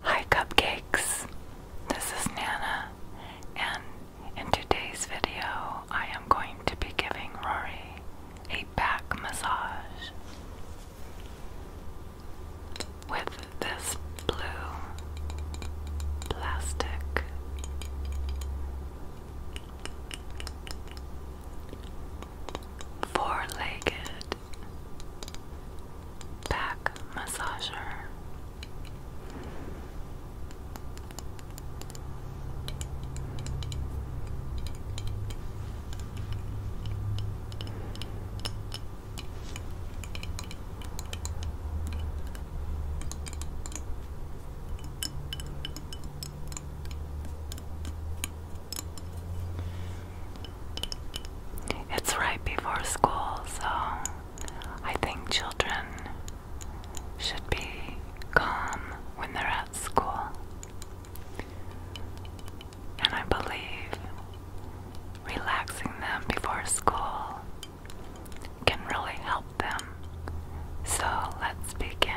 Hi Cupcakes, this is Nana, and in today's video I am going to be giving Rory a back massage with this blue plastic four-legged back massager. It's right before school, so I think children should be calm when they're at school. And I believe relaxing them before school can really help them. So let's begin.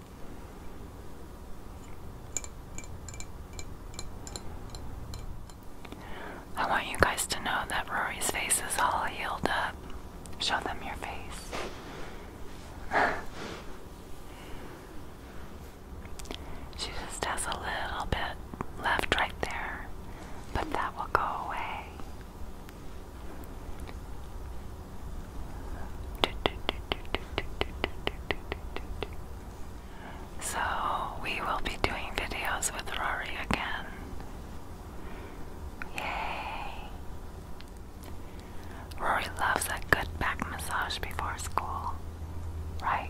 I want you guys to know that Rory's face is all healed up. Show them your face. she just has a little bit left right there, but that will go away. So, we will be doing videos with Rory again. Yay! Rory loves a good back massage before school, right?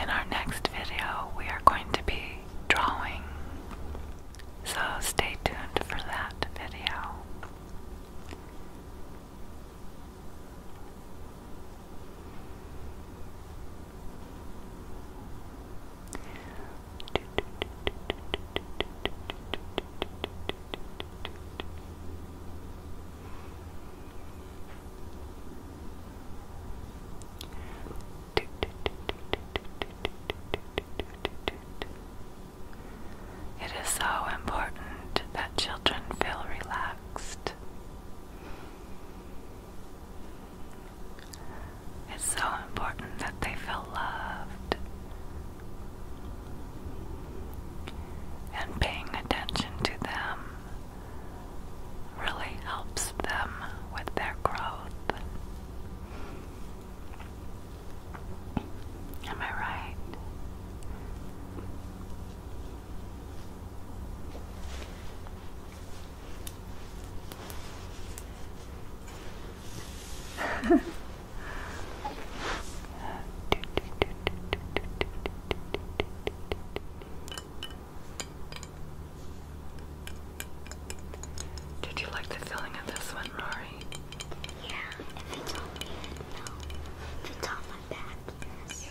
In our next video, we are going to be drawing, so stay tuned for that video. It is so important that children feel relaxed. It's so important that they feel loved and paying attention to them really helps them with their growth. Am I right? Did you like the feeling of this one, Rory? Yeah, if it's on me, no. If it's on my back, yes.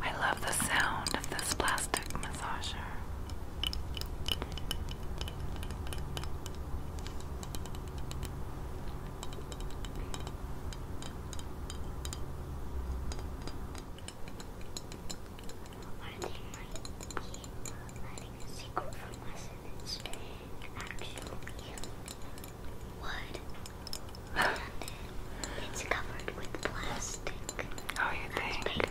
I love the sound of this plastic massager. One thing might be letting a secret from us it's an actual wood. it's covered with plastic. Oh, you think?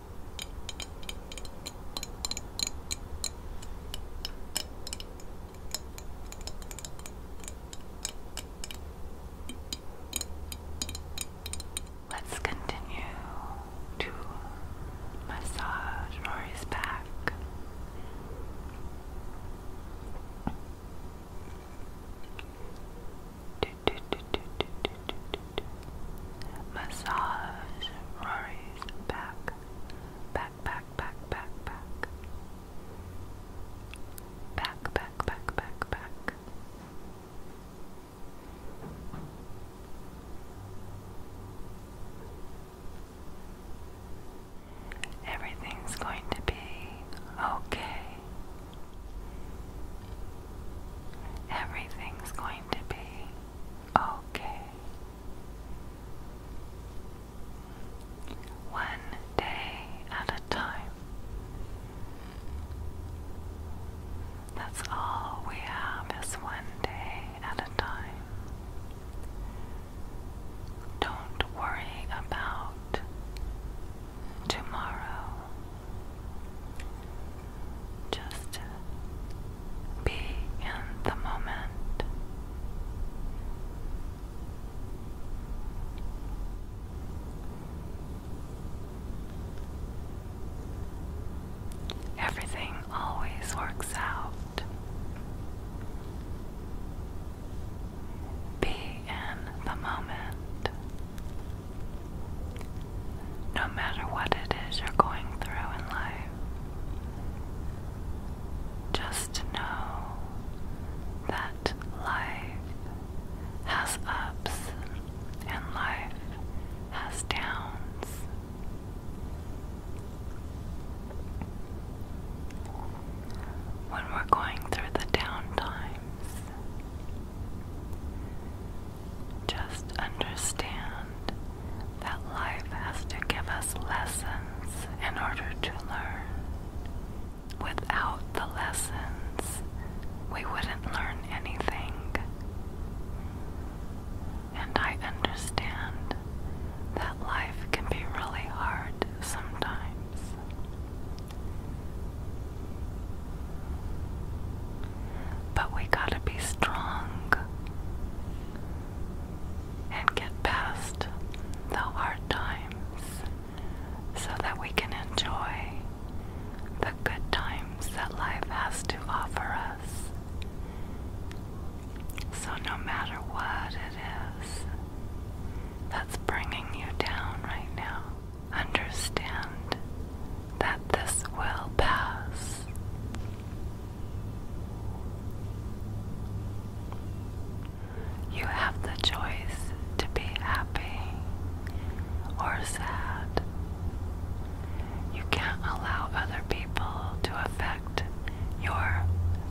Let's continue to massage Rory's back. Do, do, do, do, do, do, do, do. Massage Rory's back back, back, back, back, back, back, back, back, back, back. Everything's going to be okay. Everything's going to be okay. One day at a time. That's all we have is one day at a time. Don't worry about tomorrow just be in the moment. Everything always works out. Be in the moment. No matter what it is you're going through in life, just know that life has ups and life has downs. When we're going through the down times, just understand that life has to give us lessons in order to learn. Without the lessons, we wouldn't learn anything. And I understand that life can be really hard sometimes. But we gotta be strong and get past the hard times so that we can enjoy the good times that life has to offer us. So, no matter what it is that's bringing you down right now, understand that this will pass. You have the choice to be happy or sad. You can't allow other people to affect your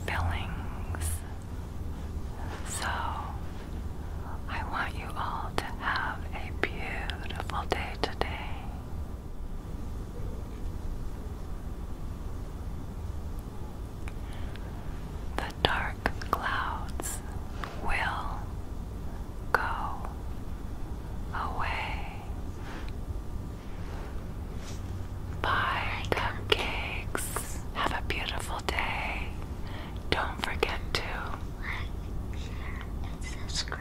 feelings. So, I want you all to have a beautiful day today. The dark clouds will go away. Bye, cupcakes. Have a beautiful day. Don't forget to like, and subscribe.